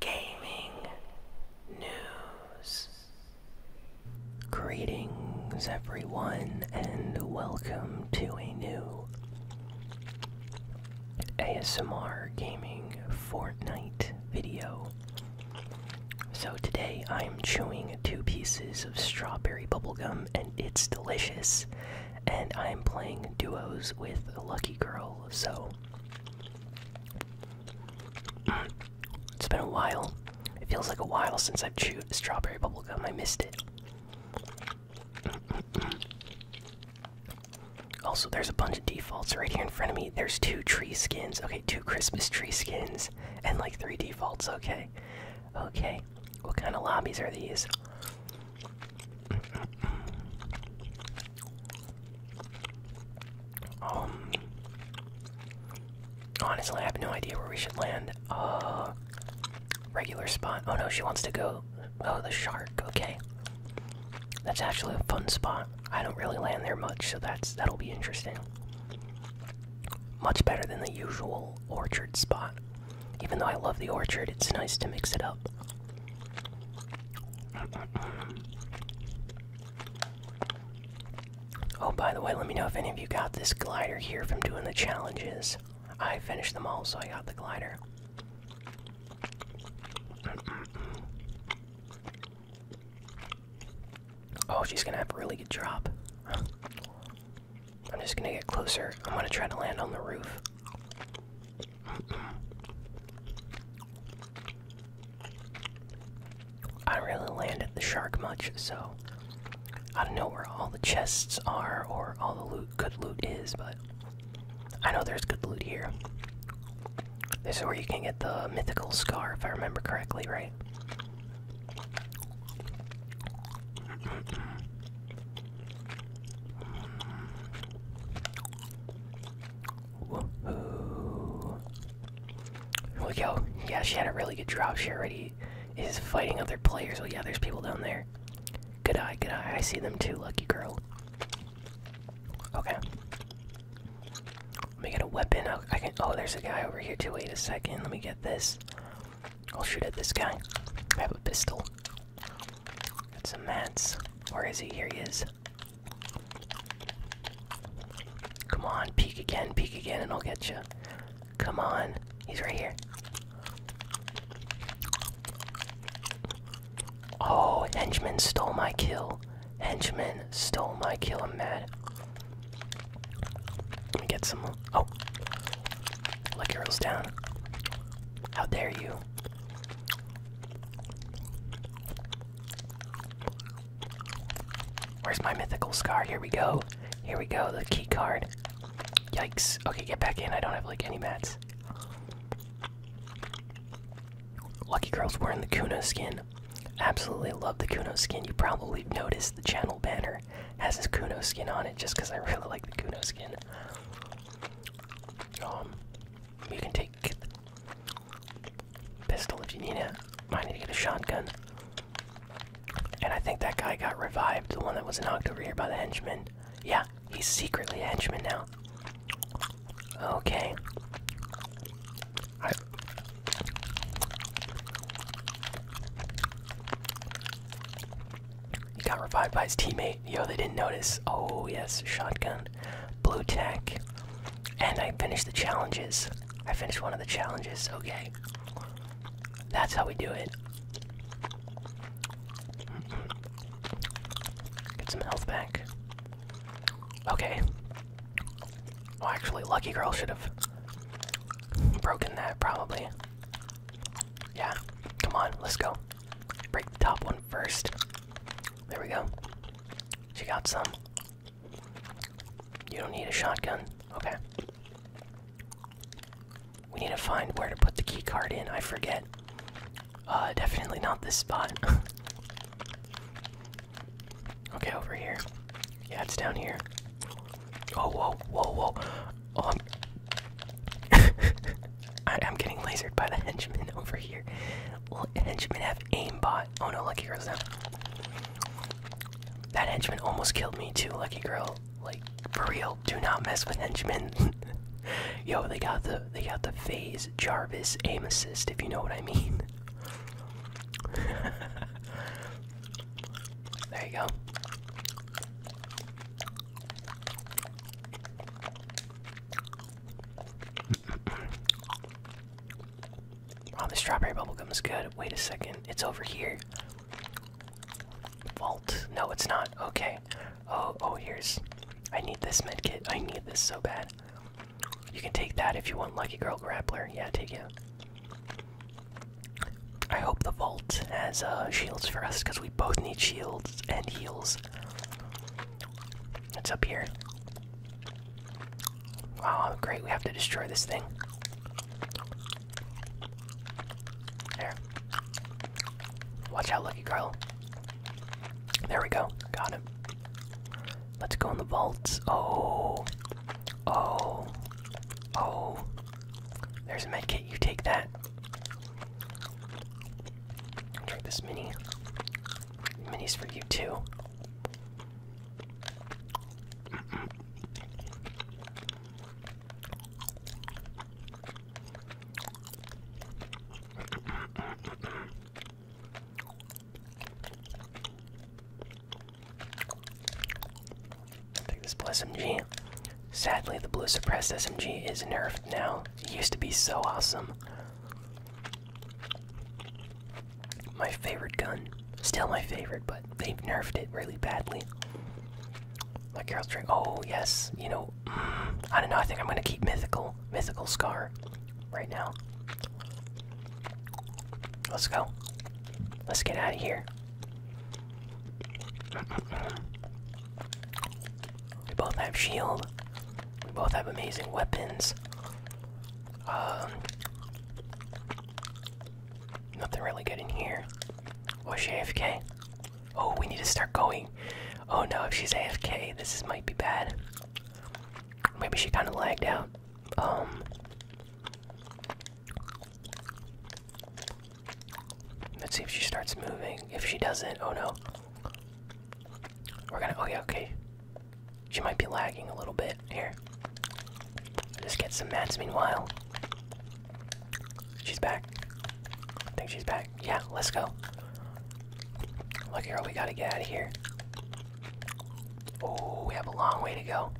gaming news. Greetings, everyone, and welcome to a new ASMR Gaming Fortnite video. So, today I'm chewing two pieces of strawberry bubblegum, and it's delicious. And I'm playing duos with Lucky Girl, so it's been a while. It feels like a while since I've chewed strawberry bubblegum. I missed it. Also, there's a bunch of defaults right here in front of me. There's two tree skins. Okay, two Christmas tree skins and like three defaults. Okay. Okay. What kind of lobbies are these? Um honestly I have no idea where we should land. Uh regular spot. Oh no, she wants to go oh the shark, okay. That's actually a fun spot. I don't really land there much, so that's that'll be interesting. Much better than the usual orchard spot. Even though I love the orchard, it's nice to mix it up. Oh, by the way, let me know if any of you got this glider here from doing the challenges. I finished them all, so I got the glider. oh, she's gonna have a really good drop. I'm just gonna get closer. I'm gonna try to land on the roof. I don't really land at the shark much, so I don't know where all the chests are or all the loot, good loot is, but I know there's good loot here. This is where you can get the mythical scar, if I remember correctly, right? There we go. Yeah, she had a really good drop. She already is fighting other players. Oh, yeah, there's people down there. Good eye, good eye. I see them too, lucky girl. Okay. Let me get a weapon. Oh, I can. Oh, there's a guy over here too. Wait a second. Let me get this. I'll shoot at this guy. I have a pistol. Got some mats. Where is he? Here he is. Come on, peek again, peek again, and I'll get you. Come on, he's right here. Oh, henchman stole my kill. Henchman stole my kill. I'm mad. Let me get some. more. Oh, lucky girls down. How dare you? Where's my mythical scar? Here we go. Here we go, the key card. Yikes. Okay, get back in. I don't have like any mats. Lucky girls wearing the Kuno skin. Absolutely love the Kuno skin. You probably noticed the channel banner has this Kuno skin on it just because I really like the Kuno skin. Um, you can take Pistol if you need it. Might need to get a shotgun. And I think that guy got revived, the one that was knocked over here by the henchman. Yeah, he's secretly a henchman now. Okay. he got revived by his teammate. Yo, they didn't notice. Oh yes, shotgun. Blue tech. And I finished the challenges. I finished one of the challenges. Okay. That's how we do it. Get some health back. Okay. Well, actually, Lucky Girl should have broken that, probably. Yeah. Come on, let's go. Break the top one first. There we go. She got some. You don't need a shotgun. Okay. We need to find where to put the key card in. I forget. Uh, definitely not this spot. okay, over here. Yeah, it's down here. Oh, whoa, whoa, whoa. Oh, I am getting lasered by the henchman over here. L henchmen have aimbot. Oh no, Lucky girl, That henchman almost killed me too, Lucky Girl. Like for real, do not mess with henchmen. Yo, they got the they got the phase Jarvis aim assist, if you know what I mean. there you go. Oh, the strawberry bubblegum is good. Wait a second. It's over here. Vault. No, it's not. Okay. Oh, oh, here's. I need this medkit. I need this so bad. You can take that if you want Lucky Girl Grappler. Yeah, take it. I hope the vault has uh, shields for us because we both need shields and heals. It's up here. Oh, great, we have to destroy this thing. There. Watch out, Lucky Carl. There we go. Got him. Let's go in the vaults. Oh. Oh. Oh. There's a med kit. You take that. Drink this mini. Minis for you too. Mm this SMG. Sadly, the blue suppressed SMG is nerfed now. It used to be so awesome. My favorite gun. Still my favorite, but they've nerfed it really badly. Like Carol String. Oh, yes. You know, mm, I don't know. I think I'm going to keep Mythical. Mythical Scar right now. Let's go. Let's get out of here. We both have shield. We both have amazing weapons. Um, nothing really good in here. Was oh, she AFK? Oh, we need to start going. Oh no, if she's AFK, this might be bad. Maybe she kind of lagged out. Um. Let's see if she starts moving. If she doesn't, oh no. We're gonna. Oh, okay. She might be lagging a little bit. Here. Just get some mats meanwhile. She's back. I think she's back. Yeah, let's go. Look, girl, we gotta get out of here. Oh, we have a long way to go.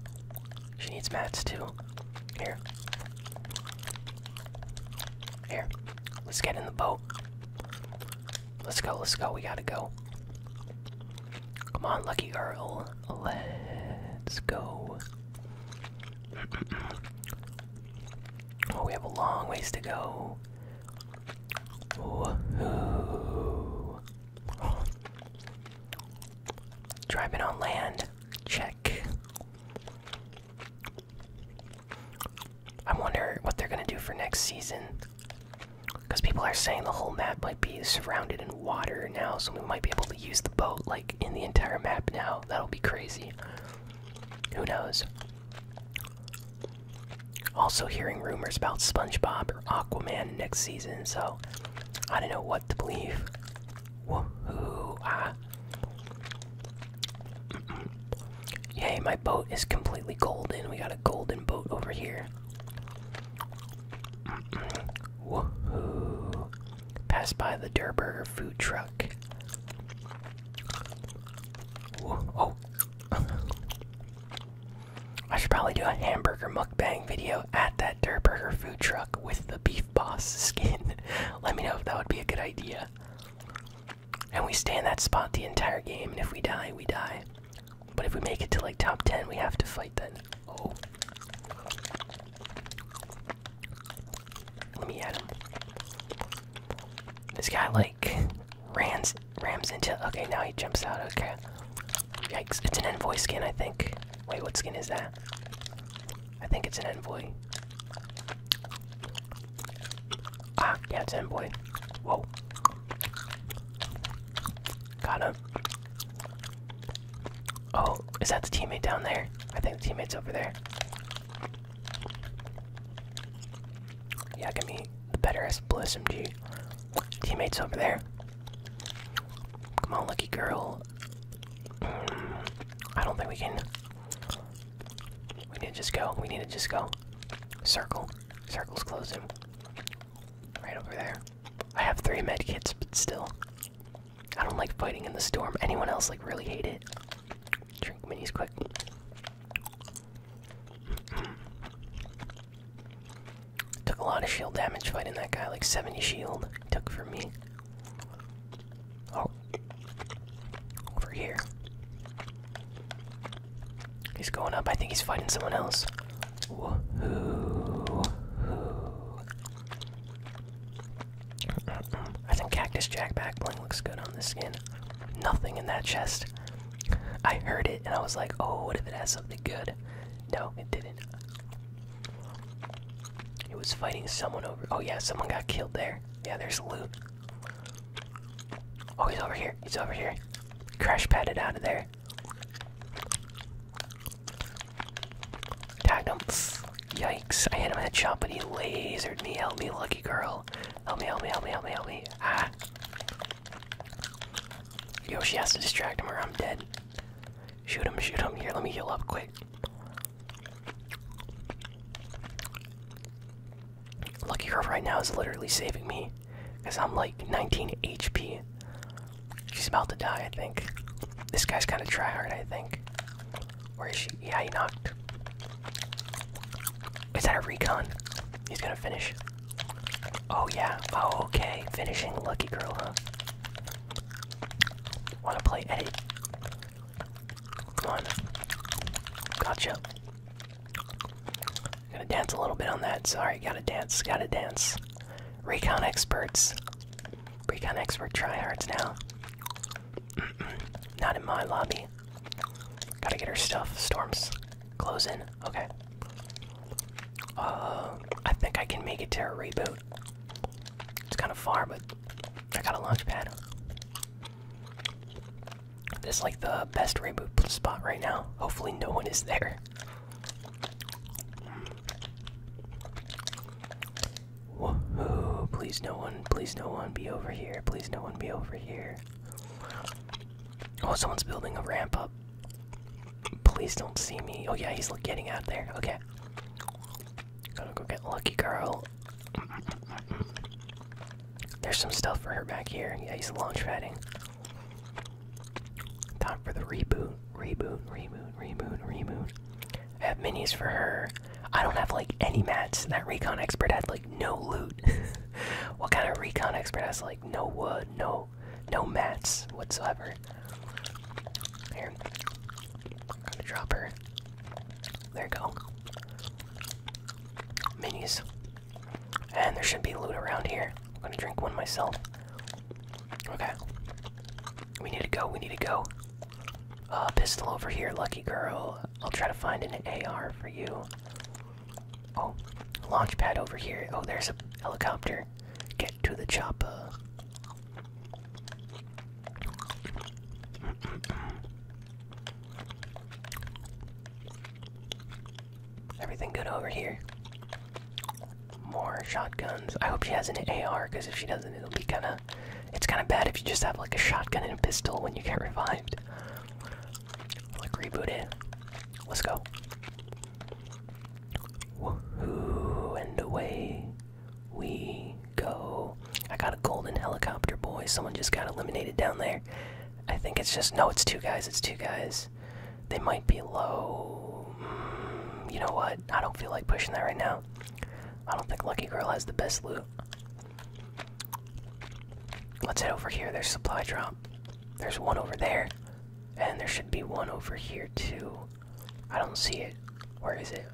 She needs mats too. Here. Here. Let's get in the boat. Let's go, let's go, we gotta go. Come on, Lucky girl. Let's go. Oh, we have a long ways to go. Woohoo. Driving on land. Check. I wonder what they're gonna do for next season. Because people are saying the whole map might be surrounded in water now, so we might be able to use the boat like in the entire map now. That'll be crazy. Who knows? Also, hearing rumors about SpongeBob or Aquaman next season, so I don't know what to believe. Woohoo! Ah. Yay, my boat is completely golden. We got a golden boat over here. Woohoo! Pass by the Durburger food truck. Oh! I should probably do a hamburger mukbang video at that Durburger food truck with the beef boss skin. Let me know if that would be a good idea. And we stay in that spot the entire game, and if we die, we die. But if we make it to like top 10, we have to fight then. Oh. Let me add him. This guy like rams rams into okay now he jumps out, okay. Yikes, it's an envoy skin I think. Wait, what skin is that? I think it's an envoy. Ah, yeah, it's in, boy. Whoa. Got him. Oh, is that the teammate down there? I think the teammate's over there. Yeah, give me the better S Bliss MG. Teammate's over there. Come on, lucky girl. Mm, I don't think we can. We need to just go. We need to just go. Circle. Circle's closing. Right over there. I have three med kits, but still. I don't like fighting in the storm. Anyone else like really hate it? Drink minis quick. Took a lot of shield damage fighting that guy, like 70 shield. Took for me. Oh. Over here. He's going up. I think he's fighting someone else. I think Cactus Jack bling looks good on this skin. Nothing in that chest. I heard it and I was like, oh, what if it has something good? No, it didn't. It was fighting someone over. Oh, yeah, someone got killed there. Yeah, there's loot. Oh, he's over here. He's over here. Crash padded out of there. Tagged him. Yikes. I hit him in the shot, but he lasered me. Help me, lucky girl. Help me, help me, help me, help me, help me. Ah. Yoshi has to distract him or I'm dead. Shoot him, shoot him. Here, let me heal up quick. Lucky girl right now is literally saving me. Because I'm like 19 HP. She's about to die, I think. This guy's kind of tryhard, I think. Where is she? Yeah, he knocked. Is that a recon? He's gonna finish. Oh, yeah. Oh, okay. Finishing Lucky Girl, huh? Wanna play Eddie? Come on. Gotcha. Gotta dance a little bit on that. Sorry, gotta dance, gotta dance. Recon experts. Recon expert tryhards now. not in my lobby. Gotta get her stuff. Storms. closing. Okay. Uh, I think I can make it to a reboot. It's kind of far, but I got a launch pad. This is like the best reboot spot right now. Hopefully, no one is there. please, no one, please, no one be over here. Please, no one be over here. Oh, someone's building a ramp up. Please don't see me. Oh, yeah, he's getting out there. Okay got to go get Lucky Girl. There's some stuff for her back here. Yeah, he's launch padding. Time for the reboot, reboot, reboot, reboot, reboot. I have menus for her. I don't have like any mats. That recon expert had like no loot. what kind of recon expert has like no wood, no no mats whatsoever? Here. i to drop her. There you go. Minis. And there should be loot around here. I'm gonna drink one myself. Okay. We need to go, we need to go. Uh, pistol over here, lucky girl. I'll try to find an AR for you. Oh, launch pad over here. Oh, there's a helicopter. Get to the chopper. Everything good over here. More shotguns. I hope she has an AR, because if she doesn't, it'll be kind of. It's kind of bad if you just have like a shotgun and a pistol when you get revived. Like reboot it. Let's go. And away we go. I got a golden helicopter, boy. Someone just got eliminated down there. I think it's just. No, it's two guys. It's two guys. They might be low. Mm, you know what? I don't feel like pushing that right now. I don't think Lucky Girl has the best loot. Let's head over here. There's supply drop. There's one over there. And there should be one over here, too. I don't see it. Where is it?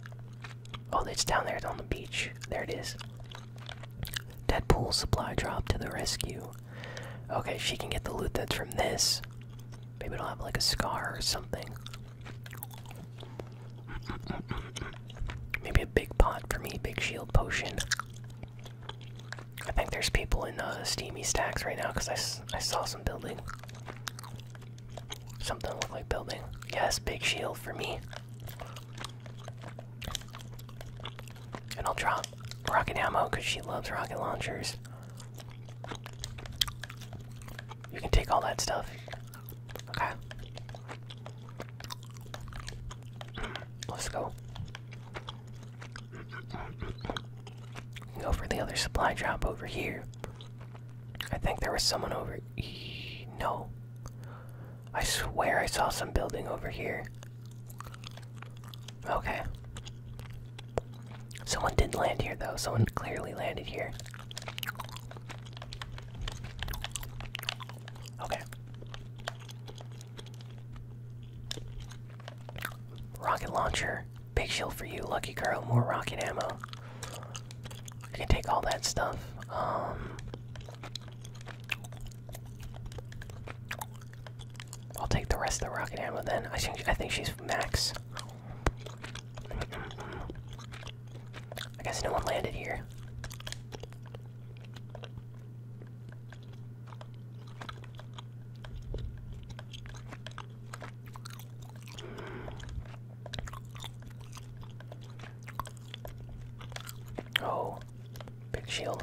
Oh, it's down there. It's on the beach. There it is. Deadpool supply drop to the rescue. Okay, she can get the loot that's from this. Maybe it'll have like a scar or something. Maybe a big pot for me, big shield potion. I think there's people in uh, steamy stacks right now because I, I saw some building. Something look like building. Yes, big shield for me. And I'll drop rocket ammo because she loves rocket launchers. You can take all that stuff. Okay. Let's go. Go for the other supply drop over here. I think there was someone over. E no. I swear I saw some building over here. Okay. Someone did land here, though. Someone clearly landed here. Okay. Rocket launcher. Big shield for you, lucky girl. More rocket ammo. I can take all that stuff. Um, I'll take the rest of the rocket ammo then. I think I think she's max. I guess no one landed here. Oh, big shield.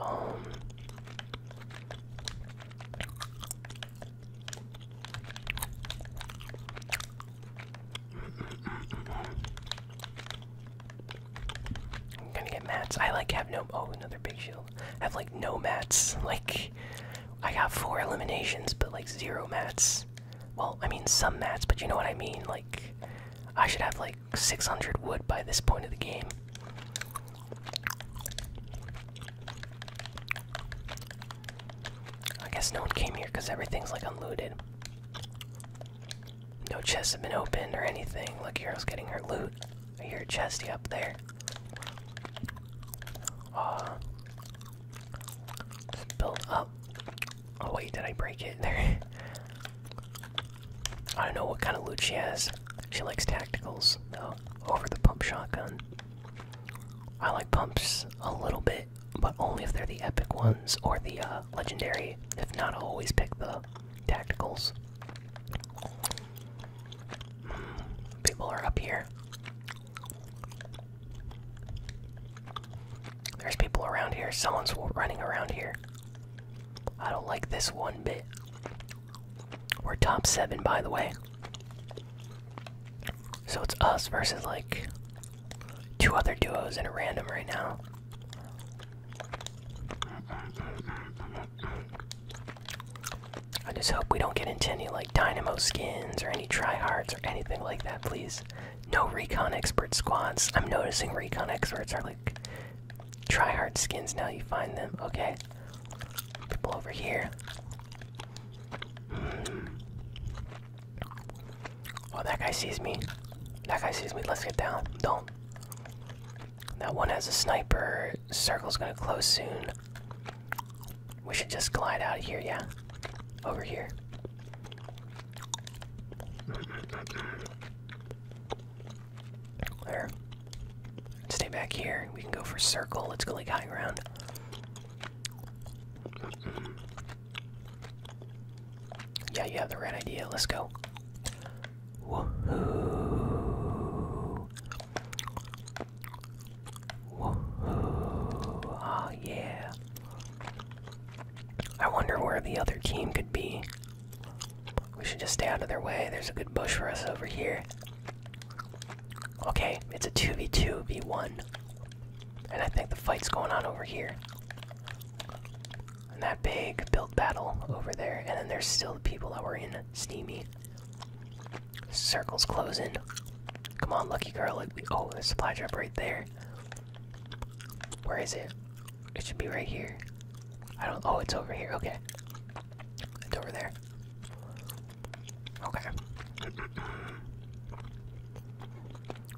Um. I'm gonna get mats. I like have no. Oh, another big shield. I have like no mats. Like, I got four eliminations, but like zero mats. Well, I mean some mats, but you know what I mean. Like, I should have like 600 wood by this point of the game. I guess no one came here because everything's like unloaded. No chest has been opened or anything. Look, Hero's getting her loot. I chesty up there. Uh, it's up. Oh wait, did I break it? There. I don't know what kind of loot she has. She likes tacticals, though, over the pump shotgun. I like pumps a little bit, but only if they're the epic ones or the uh, uh, legendary. If not, always pick the tacticals. Hmm, people are up here. There's people around here. Someone's running around here. I don't like this one bit. We're top seven, by the way. So it's us versus like two other duos in a random right now. I just hope we don't get into any like dynamo skins or any tryhards or anything like that, please. No recon expert squads. I'm noticing recon experts are like tryhard skins now. You find them, okay? People over here. Oh, that guy sees me. That guy sees me. Let's get down. Don't. That one has a sniper. Circle's gonna close soon. We should just glide out of here, yeah? Over here. There. Stay back here. We can go for circle. Let's go like high ground. Yeah, you have the right idea. Let's go. Woohoo! Woohoo! Ah, yeah. I wonder where the other team could be. We should just stay out of their way. There's a good bush for us over here. Okay, it's a 2v2v1. And I think the fight's going on over here and that big build battle over there, and then there's still the people that were in Steamy. Circle's closing. Come on, lucky girl. Like we, oh, there's supply drop right there. Where is it? It should be right here. I don't. Oh, it's over here. Okay. It's over there. Okay.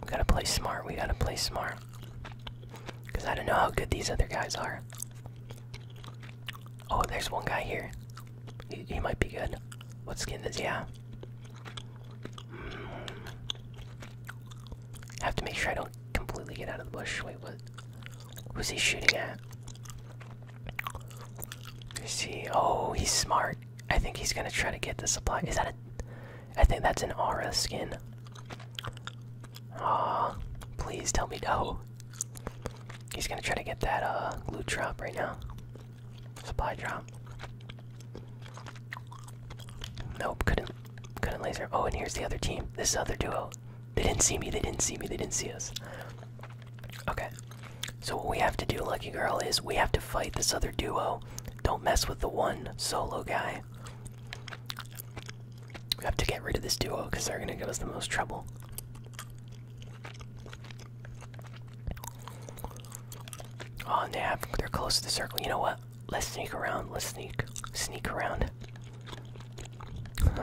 We gotta play smart, we gotta play smart. Because I don't know how good these other guys are. Oh, there's one guy here. He, he might be good. What skin does Yeah. have? Hmm. I have to make sure I don't completely get out of the bush. Wait, what? Who's he shooting at? You see, oh, he's smart. I think he's gonna try to get the supply. Is that a. I think that's an Aura skin. Aw, oh, please tell me no. He's gonna try to get that uh glue drop right now. Supply drop. Nope, couldn't couldn't laser. Oh, and here's the other team. This other duo. They didn't see me, they didn't see me, they didn't see us. Okay. So what we have to do, Lucky Girl, is we have to fight this other duo. Don't mess with the one solo guy. We have to get rid of this duo because they're going to give us the most trouble. Oh, and they have, they're close to the circle. You know what? Let's sneak around. Let's sneak. Sneak around.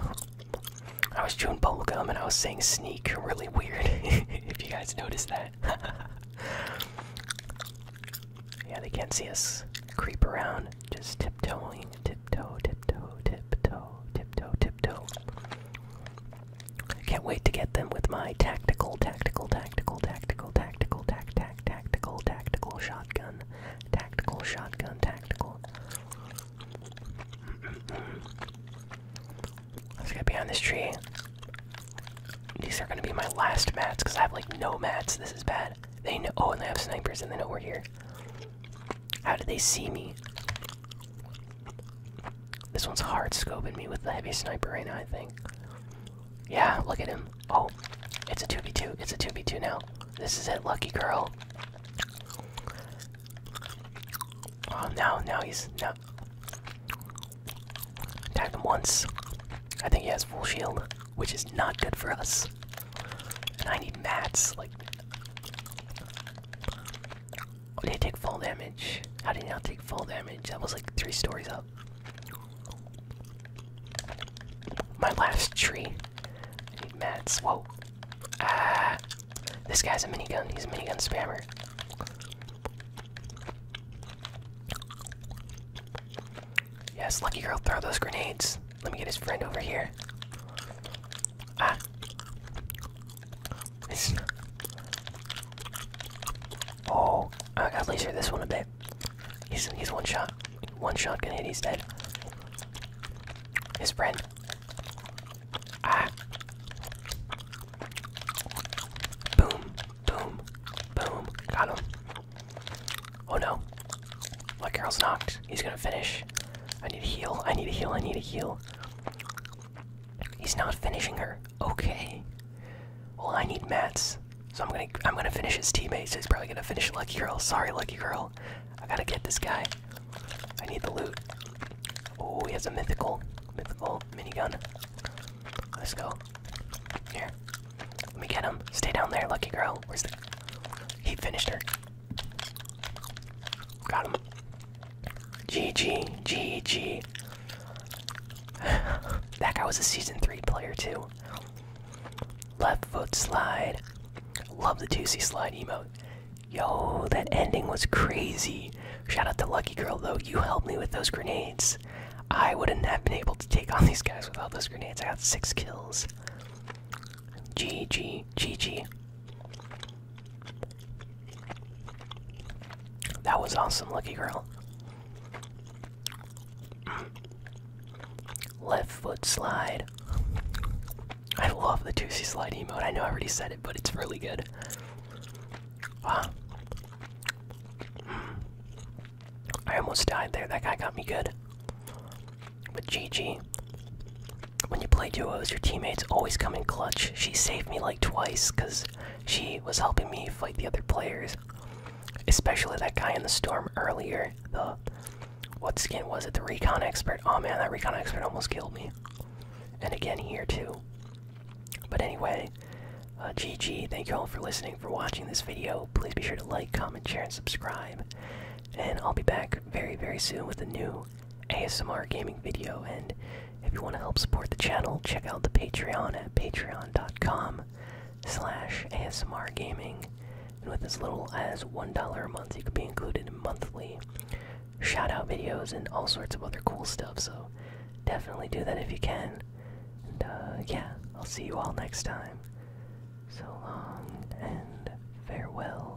I was chewing bubblegum and I was saying sneak really weird, if you guys noticed that. Yeah, they can't see us creep around. Just tiptoeing, tiptoe, tiptoe, tiptoe, tiptoe, tiptoe. can't wait to get them with my tactical, tactical, tactical, tactical, tactical, tac, tac, tactical, tactical shotgun, tactical shotgun, tactical. Let's get behind this tree. These are gonna be my last mats because I have like no mats. This is bad. They know. Oh, and they have snipers and they know we're here. How did they see me? This one's hard scoping me with the heavy sniper right now, I think. Yeah, look at him. Oh, it's a 2v2. It's a 2v2 now. This is it, lucky girl. Oh, no! now he's. no. Attacked him once. I think he has full shield, which is not good for us. And I need mats. Like, oh, did he take full damage? How did he not take full damage? That was like three stories up. My last tree. need mats. Whoa. Ah. This guy's a minigun. He's a minigun spammer. Yes, lucky girl, throw those grenades. Let me get his friend over here. Ah. It's... Oh, I gotta laser this one a bit. He's he's one shot. One shot can hit, he's dead. His friend. Ah. Boom. Boom. Boom. Got him. Oh no. My girl's knocked. He's gonna finish. I need a heal. I need a heal. I need a heal. He's not finishing her. Okay. Well, I need mats. So I'm gonna I'm gonna finish his teammates. He's probably gonna finish Lucky Girl. Sorry, Lucky Girl. I gotta get this guy. I need the loot. Oh, he has a mythical mythical minigun. Let's go. Here. Let me get him. Stay down there, lucky girl. Where's the. He finished her. Got him. GG. GG. that guy was a season 3 player, too. Left foot slide. Love the 2C slide emote. Yo, that ending was crazy. Shout out to Lucky Girl, though. You helped me with those grenades. I wouldn't have been able to take on these guys without those grenades. I got six kills. GG, GG. That was awesome, Lucky Girl. Left foot slide. I love the 2C slide emote. I know I already said it, but it's really good. Ah. I almost died there. That guy got me good. But GG. When you play duos, your teammates always come in clutch. She saved me like twice because she was helping me fight the other players. Especially that guy in the storm earlier. The. What skin was it? The recon expert. Oh man, that recon expert almost killed me. And again here too. But anyway, GG, uh, thank you all for listening, for watching this video. Please be sure to like, comment, share, and subscribe. And I'll be back very, very soon with a new ASMR gaming video. And if you want to help support the channel, check out the Patreon at patreon.com slash ASMR gaming. And with as little as $1 a month, you could be included in monthly shout out videos and all sorts of other cool stuff. So definitely do that if you can. And uh, yeah, I'll see you all next time. So long and farewell.